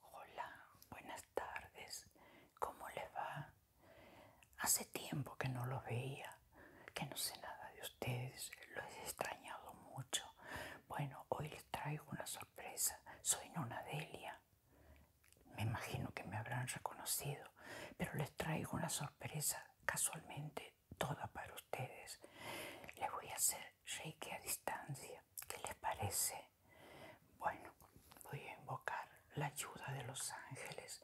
Hola, buenas tardes. ¿Cómo le va? Hace tiempo que no los veía, que no sé nada de ustedes, los he extrañado mucho. Bueno, hoy les traigo una sorpresa. Soy Nona Delia. Me imagino que me habrán reconocido, pero les traigo una sorpresa casualmente toda para ustedes. Les voy a hacer reiki a distancia. ¿Qué les parece? Bueno, voy a invocar la ayuda de los ángeles,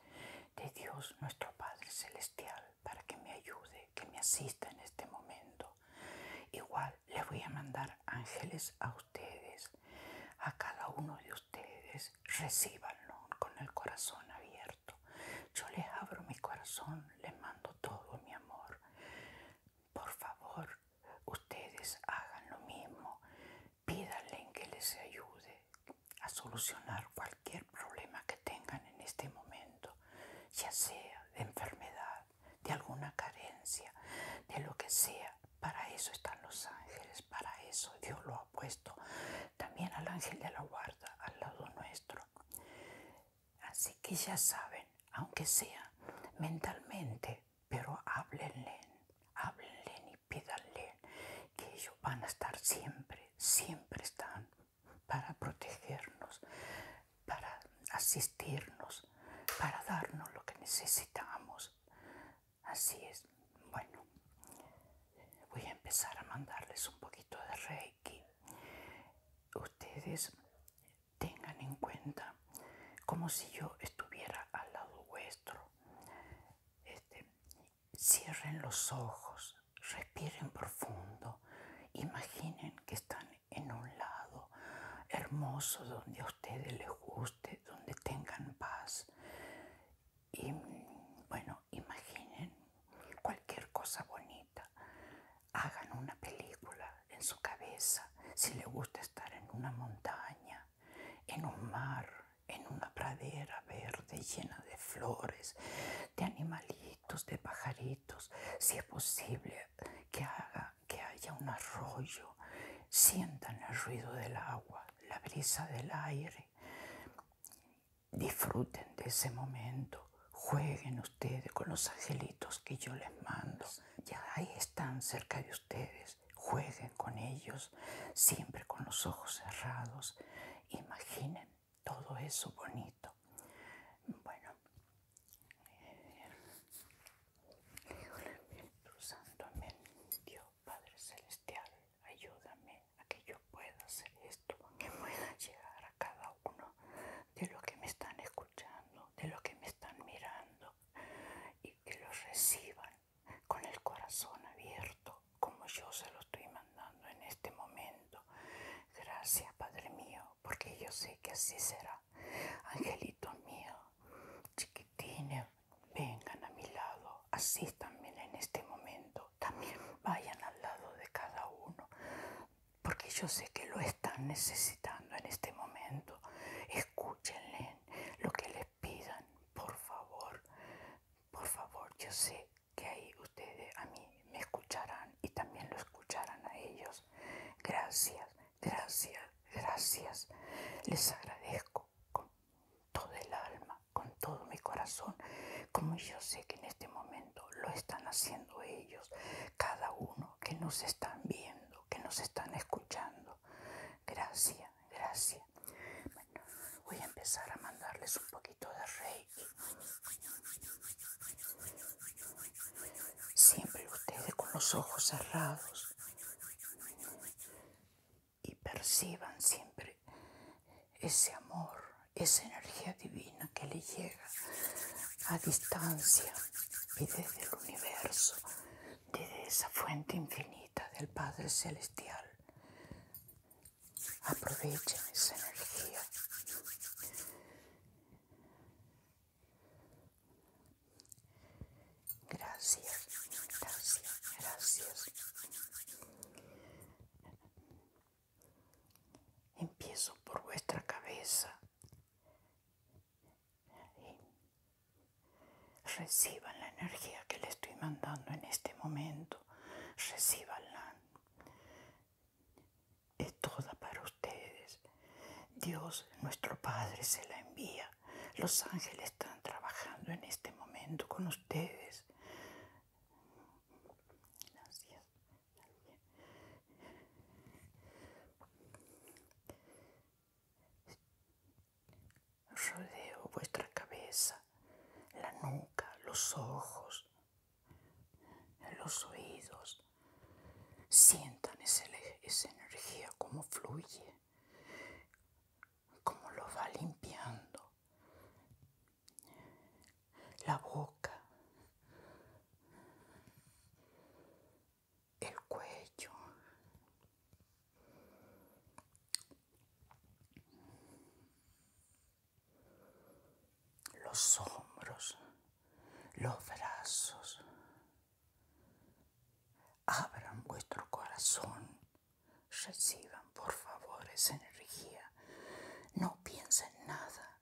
de Dios nuestro Padre Celestial, para que me ayude, que me asista en este momento. Igual les voy a mandar ángeles a ustedes ustedes, a cada uno de ustedes, recibanlo con el corazón abierto. Yo les abro mi corazón, les mando todo mi amor. Por favor, ustedes hagan lo mismo, pídanle que les ayude a solucionar cualquier problema que tengan en este momento, ya sea de enfermedad de alguna carencia, de lo que sea. Para eso están los ángeles, para eso Dios lo ha puesto. También al ángel de la guarda al lado nuestro. Así que ya saben, aunque sea mentalmente, pero háblenle, háblenle y pídanle que ellos van a estar siempre, siempre están para protegernos, para asistirnos, para darnos lo que necesitamos. Así es. Bueno, voy a empezar a mandarles un poquito de Reiki. Ustedes tengan en cuenta como si yo estuviera al lado vuestro. Este, cierren los ojos, respiren profundo, imaginen que están en un lado hermoso donde a ustedes les guste, donde tengan paz. Y bueno, imaginen cualquier cosa bonita. Hagan una película en su cabeza. Si le gusta estar en una montaña, en un mar, en una pradera verde llena de flores, de animalitos, de pajaritos, si es posible que haga que haya un arroyo, sientan el ruido del agua, la brisa del aire, disfruten de ese momento, jueguen ustedes con los angelitos que yo les mando, ya ahí están cerca de ustedes, jueguen con ellos, siempre con los ojos cerrados, imaginen todo eso bonito. Bueno, santo Dios Padre Celestial, ayúdame a que yo pueda hacer esto, que pueda llegar a cada uno de los que me están escuchando, de los que me están mirando y que los reciban con el corazón abierto, como yo se lo estoy mandando en este momento. Gracias, Padre mío, porque yo sé que así será. Angelitos míos, chiquitines, vengan a mi lado, Así también en este momento. También vayan al lado de cada uno, porque yo sé que lo están necesitando en este momento. Escúchenle lo que les pidan, por favor. Por favor, yo sé que ahí ustedes a mí me escucharán y también lo escucharán a ellos. Gracias, gracias, gracias. Les agradezco con todo el alma, con todo mi corazón, como yo sé que en este momento lo están haciendo ellos, cada uno que nos están viendo, que nos están escuchando. Gracias, gracias. Bueno, voy a empezar a mandarles un poquito de rey Siempre ustedes con los ojos cerrados y perciban siempre ese amor, esa energía divina que le llega a distancia y desde el universo, desde esa fuente infinita del Padre Celestial. Aprovechen esa energía Gracias, gracias, gracias. Empiezo por vuestra cabeza. reciban la energía que le estoy mandando en este momento. Recibanla es toda para ustedes. Dios, nuestro Padre, se la envía. Los ángeles están trabajando en este momento con ustedes. Gracias. Rodeo vuestra cabeza, la nuca, los ojos, los oídos. Sientan esa energía como fluye, como lo va limpiando. La boca, el cuello los hombros, los brazos. Abran vuestro corazón, reciban por favor esa energía. No piensen nada,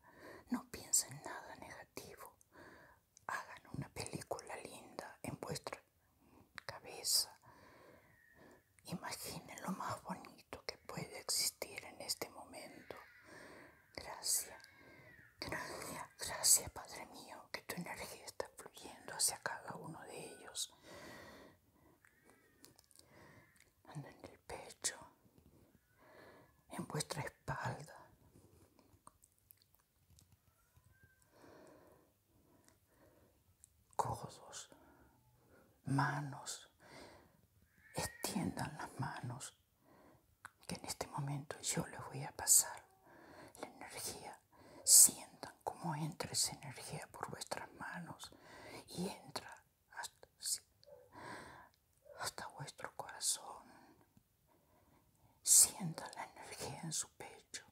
no piensen nada negativo. Hagan una película linda en vuestra cabeza. Imaginen lo más bonito que puede existir en este momento. Gracias, gracias, gracias Padre mío, que tu energía está fluyendo hacia cada uno de ellos. Anda en el pecho, en vuestra espalda. codos, manos, extiendan las manos, que en este momento yo les voy a pasar la energía. Sientan cómo entra esa energía por vuestras manos y entra hasta, vuestro corazón. Sientan la energía en su pecho,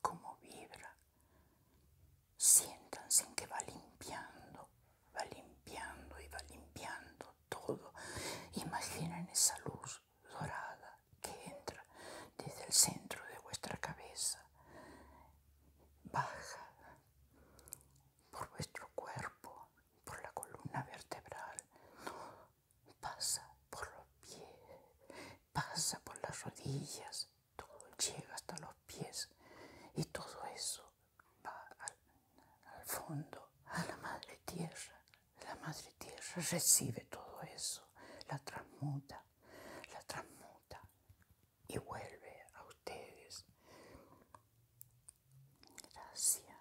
cómo vibra, Siéntanse en que va limpiando, va limpiando y va limpiando todo. Imaginen esa luz dorada que entra desde el centro de vuestra cabeza, baja por vuestro cuerpo, por la columna vertebral, pasa por los pies, pasa por las rodillas, todo llega hasta los pies y todo eso va al, fondo, a la madre tierra. La madre tierra recibe todo eso, la transmuta, la transmuta y vuelve a ustedes. Gracias,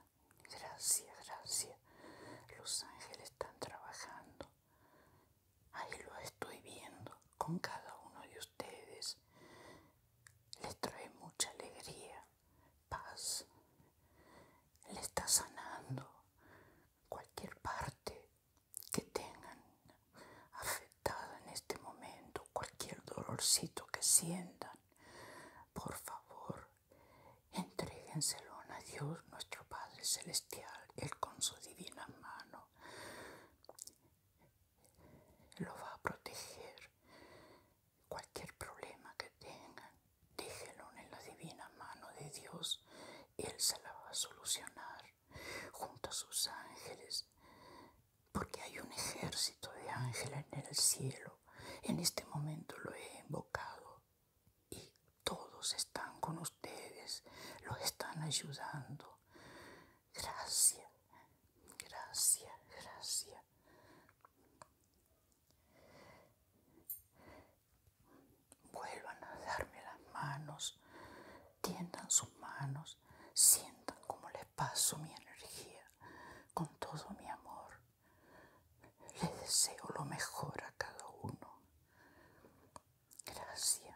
gracias, gracias. Los ángeles están trabajando Ahí lo estoy viendo con cada uno de ustedes. Les trae mucha alegría, paz. Le está sanando cualquier parte que tengan afectada en este momento, cualquier dolorcito que sientan. Por favor, entréguenselo a Dios, nuestro Padre Celestial, Él con su divina mano lo va a proteger cualquier problema que tengan déjenlo en la divina mano de Dios él se la va a solucionar junto a sus ángeles porque hay un ejército de ángeles en el cielo en este momento lo he invocado y todos están con ustedes lo están ayudando gracias, gracias, gracias. Vuelvan a darme las manos, tiendan sus manos, sientan cómo les paso mi energía con todo mi amor. Les deseo lo mejor a cada uno. Gracias,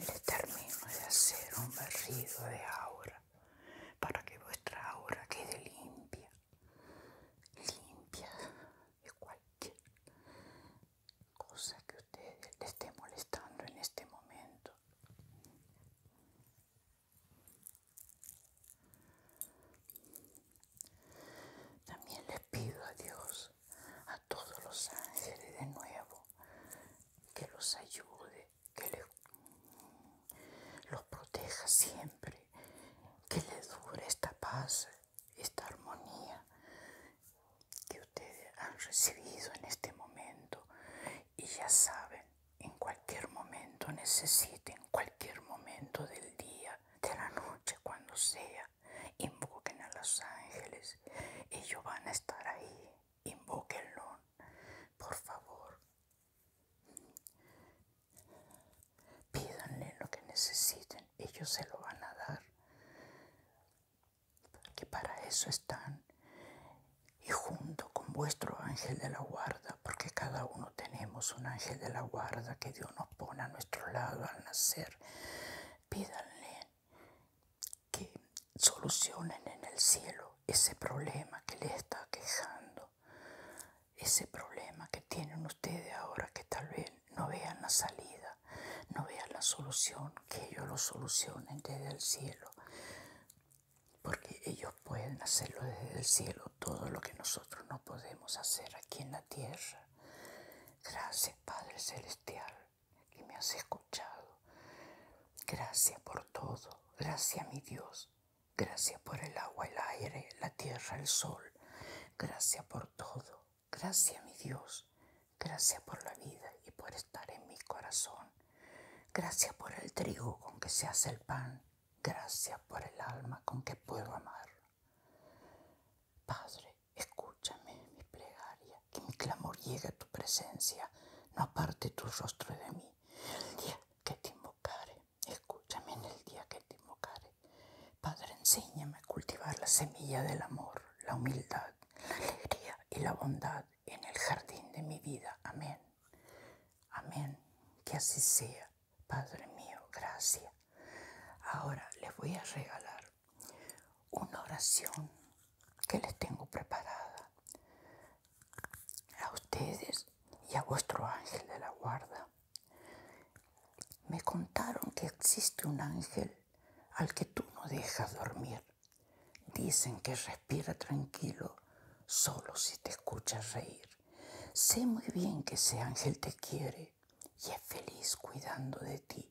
Le termino de hacer un barrido de aura para que vuestra aura quede limpia, limpia de cualquier cosa que ustedes le esté molestando en este momento. También les pido a Dios, a todos los ángeles de nuevo, que los ayude, que mm, los proteja siempre, que les dure esta paz, esta armonía que ustedes han recibido en este momento. Y ya saben, en cualquier momento necesiten, cualquier momento del día de la noche, cuando sea. Invoquen a los ángeles. Ellos van a estar ahí. Invóquenlo, por favor. Pídanle lo que necesiten. Ellos se lo van a dar. Que para eso están. Y junto con vuestro ángel de la guarda, porque cada uno tenemos un ángel de la guarda que Dios nos pone a nuestro lado al nacer, pídanle que solucionen en el cielo ese problema que le está quejando, ese problema que tienen ustedes ahora que tal vez no vean la salida, no vean la solución, que ellos lo solucionen desde el cielo, porque ellos pueden hacerlo desde el cielo todo lo que nosotros no podemos hacer aquí en la tierra. Gracias Padre Celestial que me has escuchado. Gracias por todo. Gracias mi Dios. Gracias por el agua, el aire, la tierra, el sol. Gracias por todo. Gracias mi Dios. Gracias por la vida y por estar en mi corazón. Gracias por el trigo con que se hace el pan. Gracias por el alma con que puedo amar. Padre, escúchame mi plegaria, que mi clamor llegue a tu presencia, no aparte tu rostro de mí. El día que te invocare, escúchame en el día que te invocare. Padre, enséñame a cultivar la semilla del amor, la humildad, la alegría y la bondad en el jardín de mi vida. Amén. Amén. Que así sea. Padre mío, gracias. Ahora les voy a regalar una oración que les tengo preparada a ustedes y a vuestro ángel de la guarda. Me contaron que existe un ángel al que tú no dejas dormir. Dicen que respira tranquilo solo si te escuchas reír. Sé muy bien que ese ángel te quiere y es feliz cuidando de ti.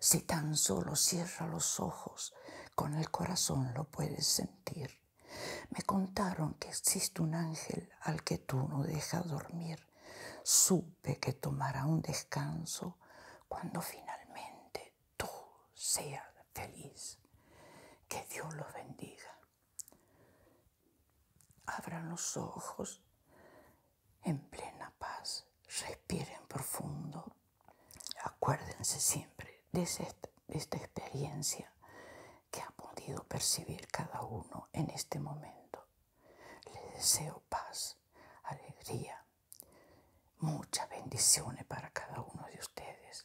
Si tan solo cierra los ojos, con el corazón lo puedes sentir. Me contaron que existe un ángel al que tú no dejas dormir. Supe que tomará un descanso cuando finalmente tú seas feliz. Que Dios los bendiga. Abran los ojos en plena paz. Respiren profundo. Acuérdense siempre de, esta experiencia que ha podido percibir cada uno en este momento. Les deseo paz, alegría, muchas bendiciones para cada uno de ustedes.